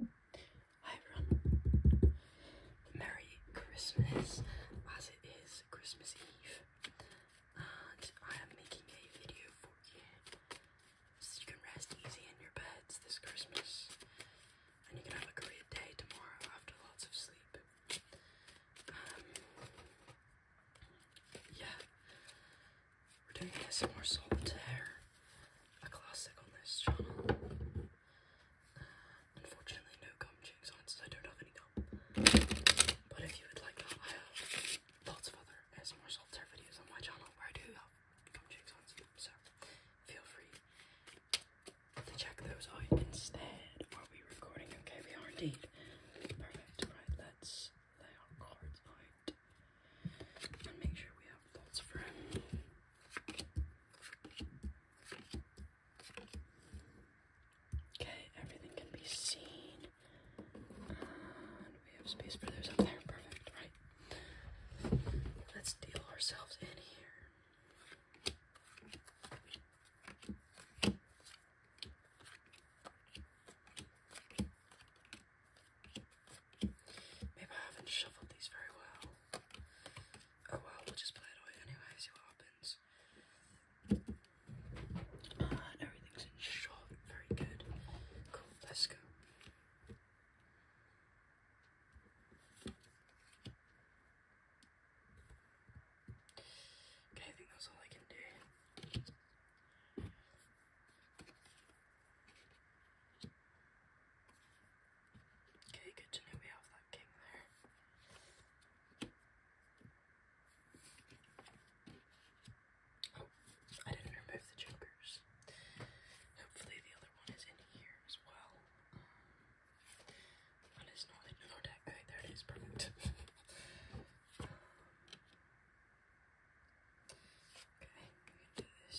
Hi everyone. Merry Christmas as it is Christmas Eve and I am making a video for you so you can rest easy in your beds this Christmas and you can have a great day tomorrow after lots of sleep. Um, yeah, we're doing this ASMR solitaire a classic on this channel. Uh, unfortunately, no gum jigs on it, I don't have any gum. But if you would like lots of other ASMR software videos on my channel where I do gum jigs on so feel free to check those out instead. Are we recording? Okay, we are indeed. Perfect. Right, let's lay our cards out and make sure we have lots of room. Okay, everything can be seen. we have space for those up there. Perfect, right? Let's deal ourselves in here. Maybe I haven't shuffled these very well. Oh well, we'll just play it anyway, see what happens. and ah, everything's in short. Very good. Cool, let's go. Okay, I think that's all I can do. Okay, good to know we have that king there. Oh, I didn't remove the jokers. Hopefully the other one is in here as well. Um, that is not in our deck. Okay, there it is, perfect. Um, okay, we can do this.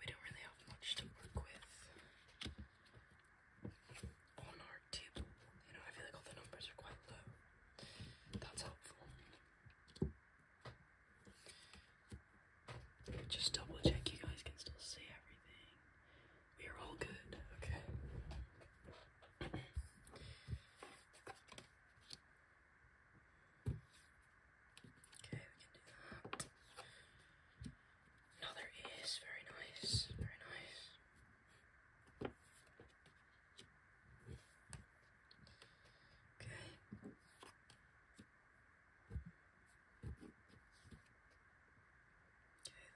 We don't really have much to work with on our table. You know, I feel like all the numbers are quite low. That's helpful. Just double check you guys can still see everything. We are all good, okay? Okay, we Another is very nice, very nice. Okay. Okay,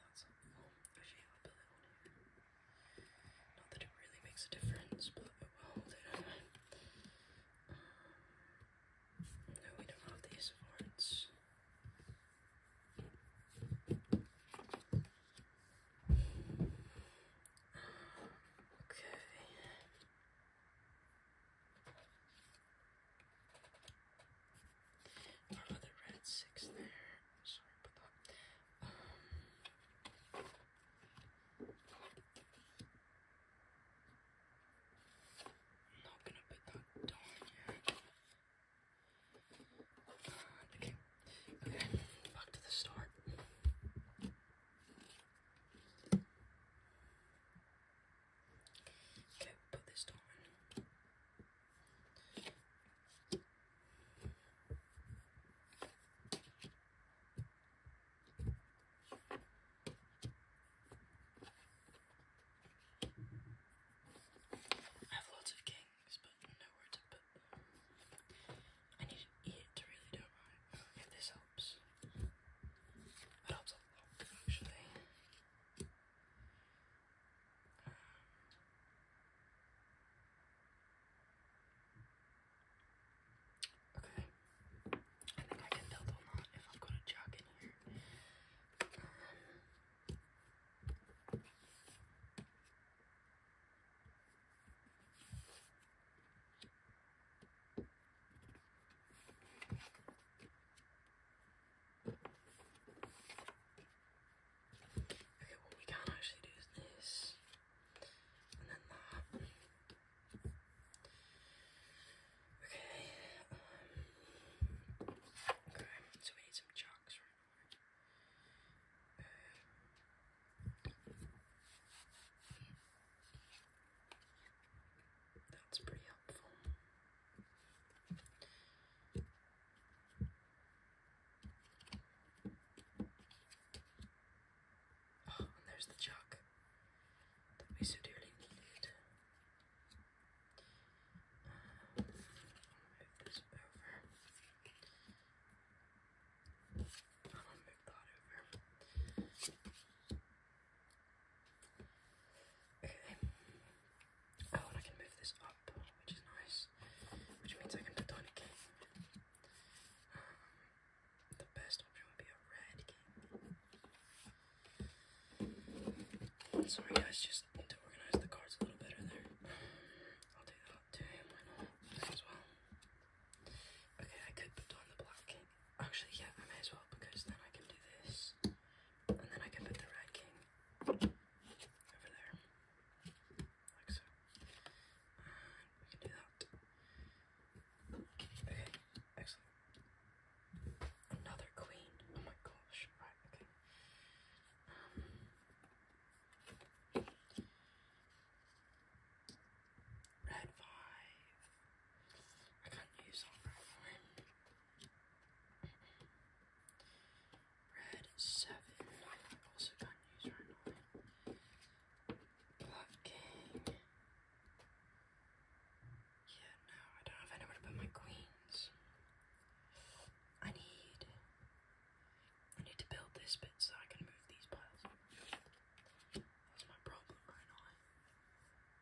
that's helpful. Oh, actually, I'll build it not that it really makes a difference, but oh, um, we don't have these awards. Um, okay. Our red six there. I'm um, not gonna put that down yet. Uh, okay, okay, back to the start. Okay, put this down. Okay. I have lots of kings, but nowhere to put I need to really do it right. this helps, it helps a lot actually. Um, Okay. I think I can double knot if I'm gonna jog in here. Okay, what we can actually do is this, and then that. Okay, um, okay, so we need some jocks right now. that's pretty helpful. Oh, and there's the chalk that we so dearly needed. Uh, move this over. I'm gonna move that over. Okay. Oh, and I can move this up, which is nice. Which means I can put down a game. The best option would be a red king. Sorry guys, just to organize the cards a little better there. I'll do that too, why As well. Okay, I could put down the black king. Actually, yeah, I may as well because then I can do this. And then I can put the red king over there like so. we can do that. Okay, excellent. Another queen. Oh my gosh. okay. Um, red five. I can't use on red Red seven use Yeah, no, I don't have anywhere to put my queens. I need. I need to build this bit so I can move these piles. That's my problem right now.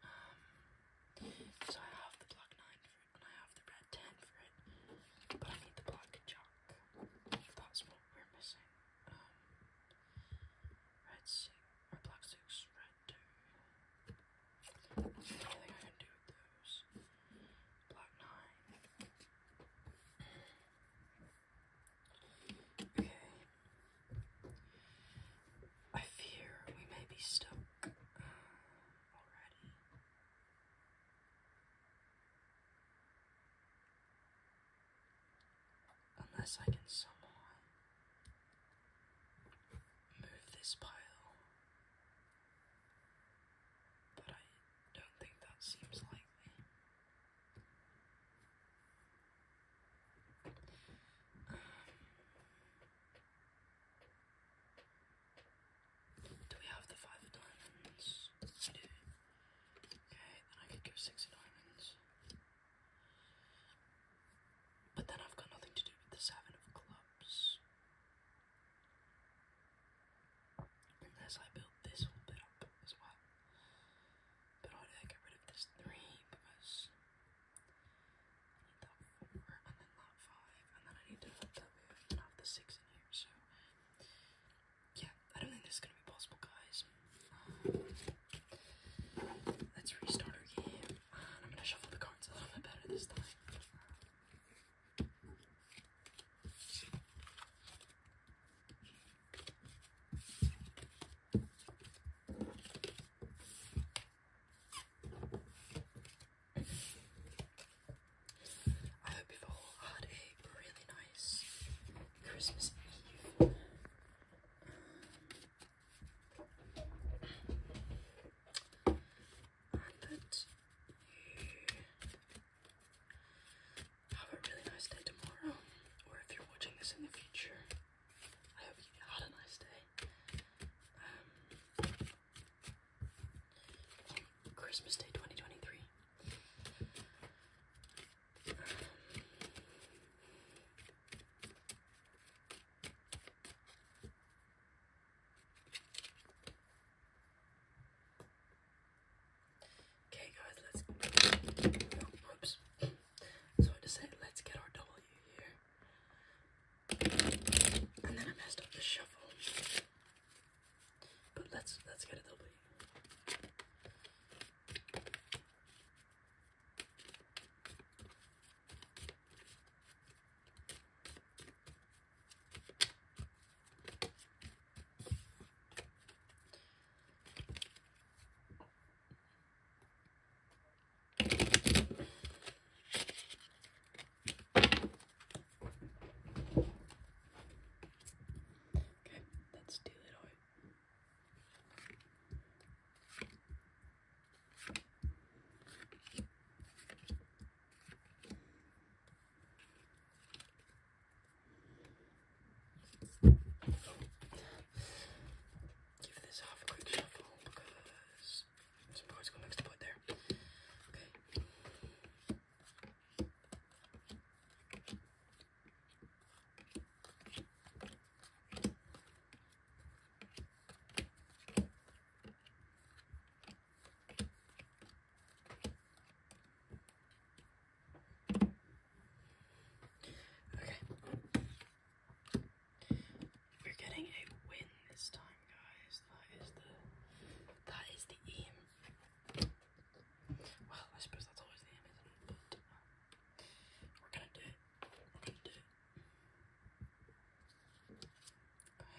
Um, so I have the block 9 for it, and I have the red 10 for it, but I need the block chalk. That's what we're missing red six, or black six, red two. Anything I can do with those. Black nine. Okay. I fear we may be stuck uh, already. Unless I can somehow move this pile. But I don't think that seems likely. Um, do we have the five diamonds? Okay, then I could give six diamonds. But then I've got nothing to do with the seven of clubs. Unless I build this whole bit up as well. But I would get rid of this three because I need that four and then that five and then I need to have that move have the six in here. So yeah, I don't think this is gonna be possible, guys. Um, let's restart our game, um, I'm gonna shuffle the cards a little bit better this time. I hope you've all had a really nice Christmas Eve. have a really nice day tomorrow, or if you're watching this in the future, I hope you had a nice day. Um, Christmas Day 2023. Okay, guys, let's. oops. So I just said, let's get our W here. And then I messed up the shuffle. But let's let's get a W. Okay, let's do it Give this half a quick shuffle because some cards got mixed up there. Okay. Okay. We're getting a win this time guys. That is the that is the aim. Well, I suppose that's always the end of not it? But uh, we're gonna do it. We're gonna do it. Okay.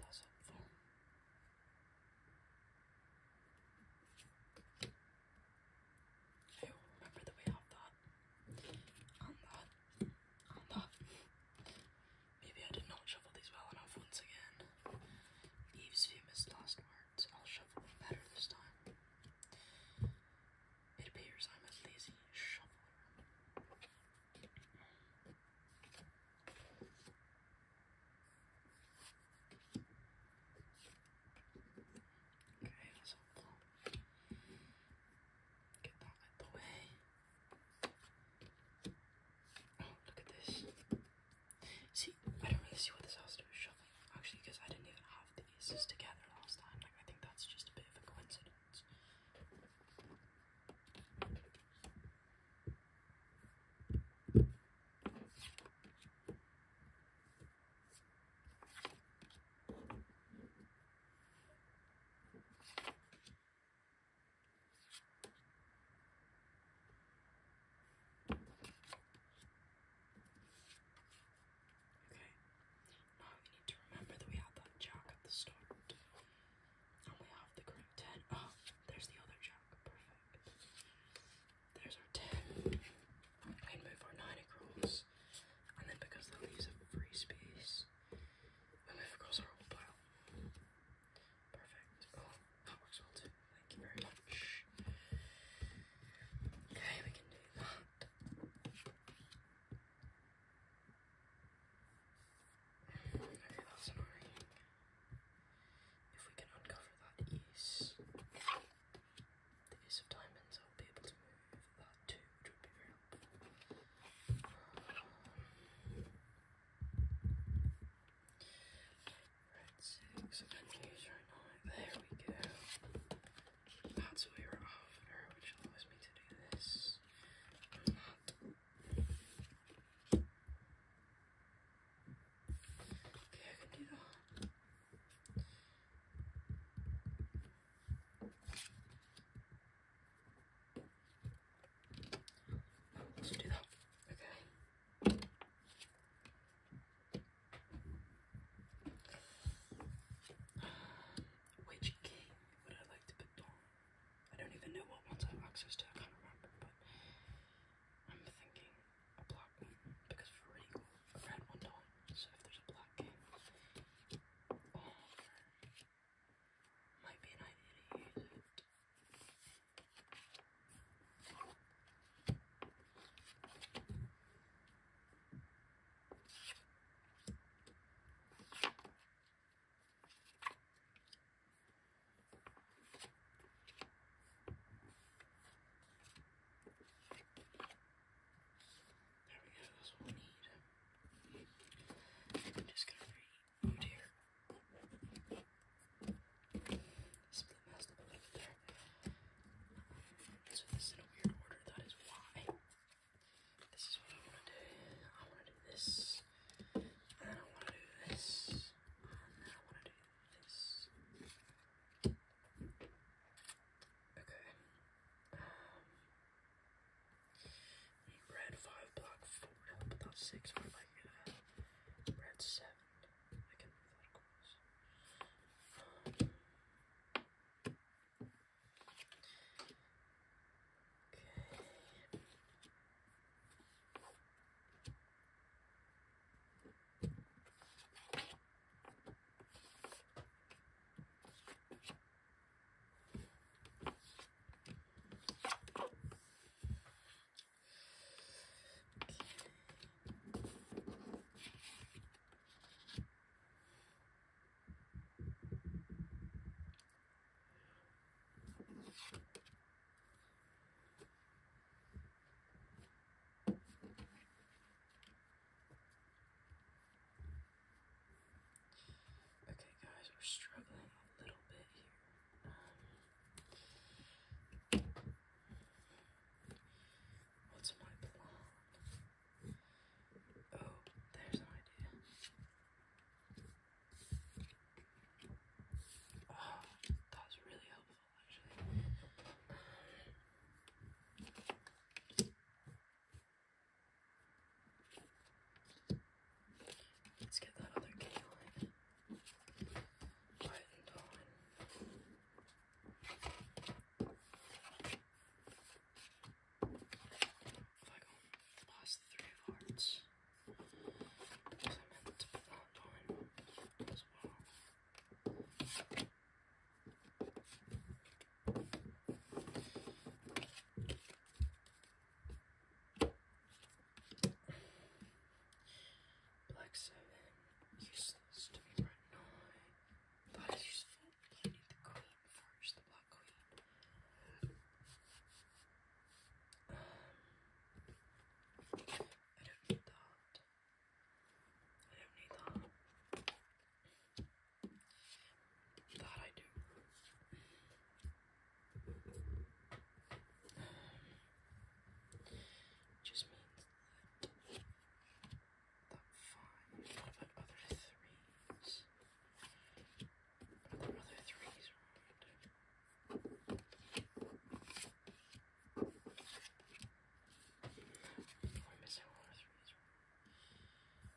That's helpful. Okay, remember that we have that. And that. And that. Maybe I did not shuffle these well enough once again. Eve's famous last words. I'll shovel better this time. It appears I'm a lazy shoveler. Okay, that's helpful. Get that out the way. Oh, look at this. See, I don't really see what this has to do with shuffling, actually, because I didn't even have the aces together last time. Like, I think that's just a bit of a coincidence. Okay. Now we need to remember that we had that jack at the start. And we have the correct 10. Oh, there's the other jack. Perfect. There's our 10. We can move our 9 across. And then because that leaves a free space, we move across our whole pile. Perfect. Oh. That works well too. Thank you very much. Okay, we can do that. Okay, that's annoying. If we can uncover that ace, the ace of diamonds, I'll be able to move that too, which would be very helpful. Um, Red six, right now. There we go. That's what we were after, which allows me to do this. Okay, can do that. Let's do that. Okay. Which king would I like to put down? I don't even know what ones I have access to, I can't remember, but I'm thinking a black one because for equal red one so if there's a black king, oh, might be an idea to use it there we go, that's what we need. I'm just gonna read here. Oh, so this in a weird order, that is why. This is what I want to do. I want to do this. And then I want to do this. And then I want to do this. Okay. Um, red 5, black 4, but 6. Red 7. I can Okay. Okay, guys, we're struggling a little bit here. Um, What's my plan? Oh, there's an idea. Oh, that was really helpful actually. Let's get that other key Right and on. I go past three of hearts, because I meant to put that on as well. Black 7, useless to me right now. That is useful, but need the queen first, the black queen. Um, I don't need that. I don't need that. That I do. Um, just means that the five. What about other threes? Are other threes around? We're missing one threes. Right?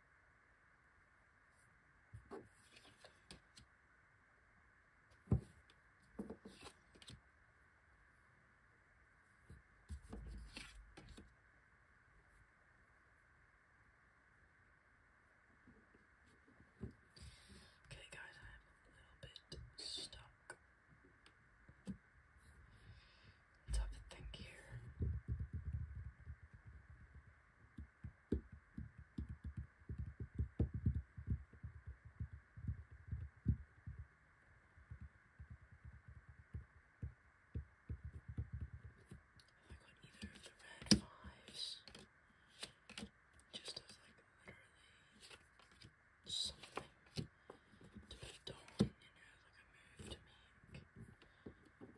Okay, guys, I'm a little bit stuck. Let's have think here got either of the red fives, just as like literally something to put down, you know, like a move to make.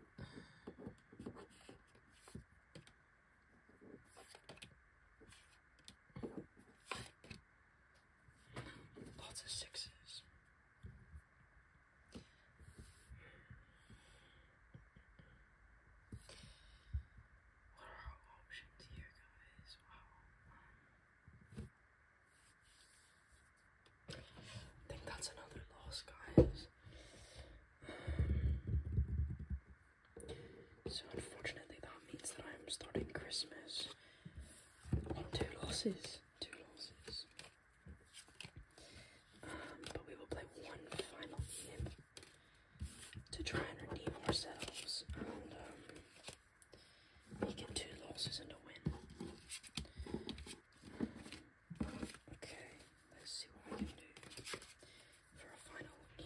Lots of sixes. What are our options here, guys? Wow. I think that's another loss, guys. So unfortunately that means that I'm starting Christmas on two losses. Two losses. Um, but we will play one final game to try and redeem ourselves and um, make it two losses and a win. Okay, let's see what we can do for our final game.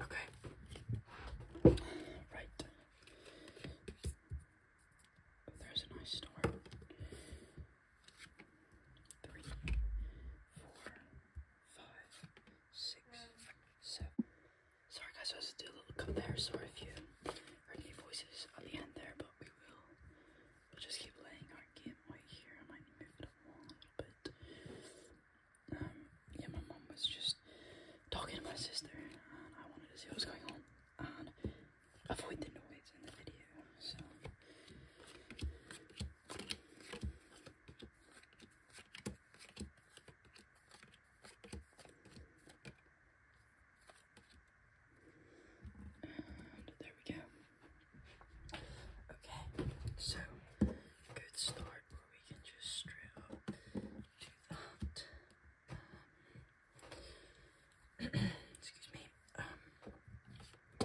Okay. Right. There's a nice start. Three, four, five, six, seven. Sorry guys, I was doing a little cut there. Sorry if you heard any voices on the end there, but we will we'll just keep playing our game right here. I might move it a little bit. Um, yeah, my mom was just talking to my sister, and I wanted to see what was going on and avoid the noise in the video. So. there we go. Okay, so good start where we can just straight up do that. Um, excuse me. Um, I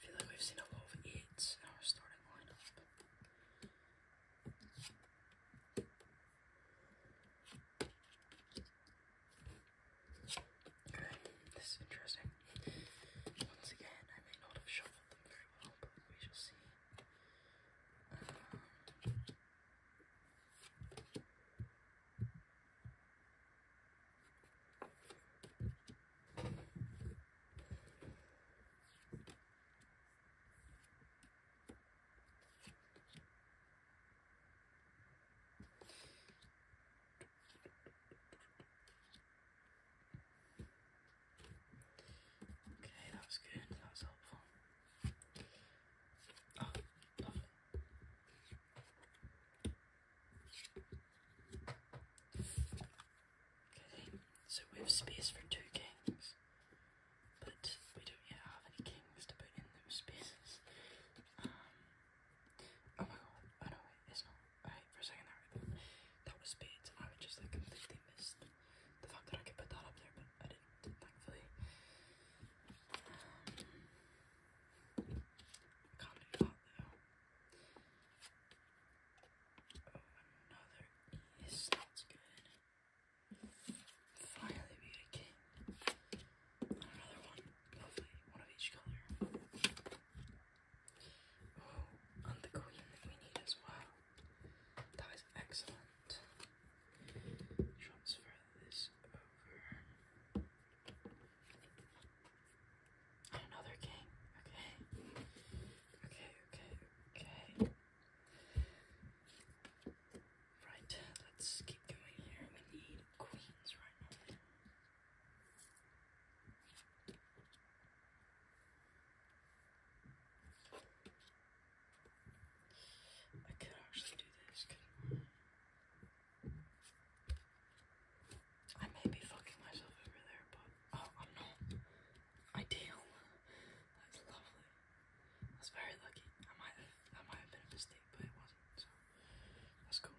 feel like we've seen a lot of eights in our starting lineup. Okay, this is interesting. Once again, I may not have shuffled them very well, but we shall see. Um, Okay, that was good, that was helpful. Oh, lovely. Okay, so we have space for two kings, but we don't yet have any kings to put in those spaces oh my god, oh no, it's Alright, for a second that was spades, and I just like completely missed the fact that I could put that up there, but I didn't, thankfully. Um, oh, another yes, that's good. Finally, we get a king. another one. One of each color. Oh, and the queen that we need as well. That is excellent. Transfer this over. another king. Okay. Okay, okay, okay. Right, let's keep going here. We need queens right now. I could actually do this, I? may be fucking myself over there, but oh, I'm not. Ideal. That's lovely. That's very lucky. I might have, might have been a mistake, but it wasn't. That's cool.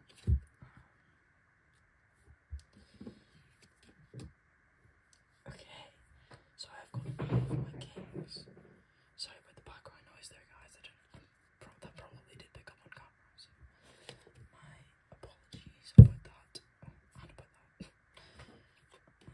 Okay, so I've got my kings. Sorry about the background noise there, guys. I do probably did pick on camera, my apologies about that. Oh, about that. Um,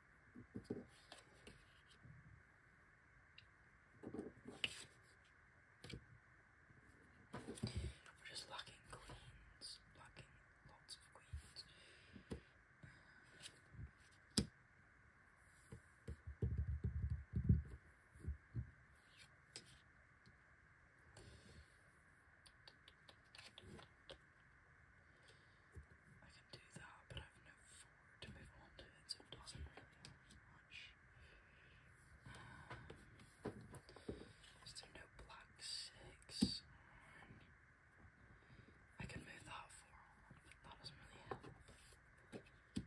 We're just lacking queens, lacking lots of queens do that, but I've no forward to move on to so it doesn't really help much. Um, no black six I can move that four on, but that doesn't really help.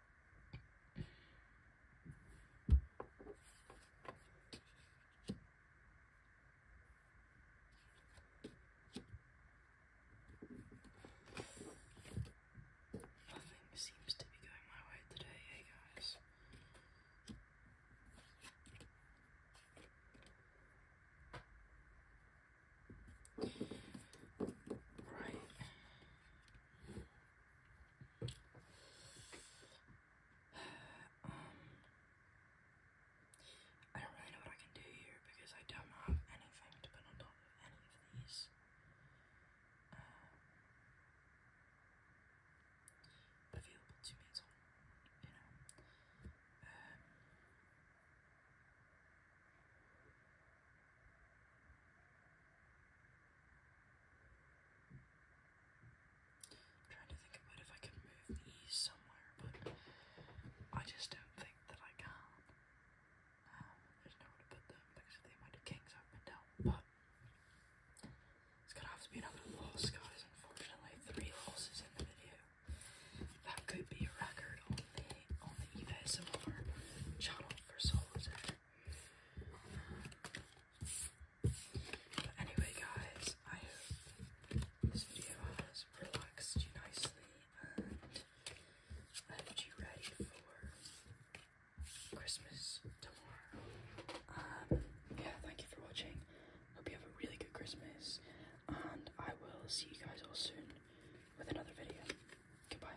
Nothing seems to be going my way today, hey guys. Right um, I don't really know what I can do here because I don't have anything to put on top of any of these. Uh, available to me at you know. Um, I'm trying to think about if I can move the somewhere, but I just don't think that I can. Um, there's nowhere to put them because the amount of kings I've been but it's gonna have to be another loss, guys. Unfortunately, three losses in the video. That could be a record on the on the EVSMR channel for Solo anyway, guys, I hope this video has relaxed you nicely, and I hope you ready for Christmas tomorrow. Um, yeah, thank you for watching. Hope you have a really good Christmas, and I will see you guys all soon with another video. Goodbye.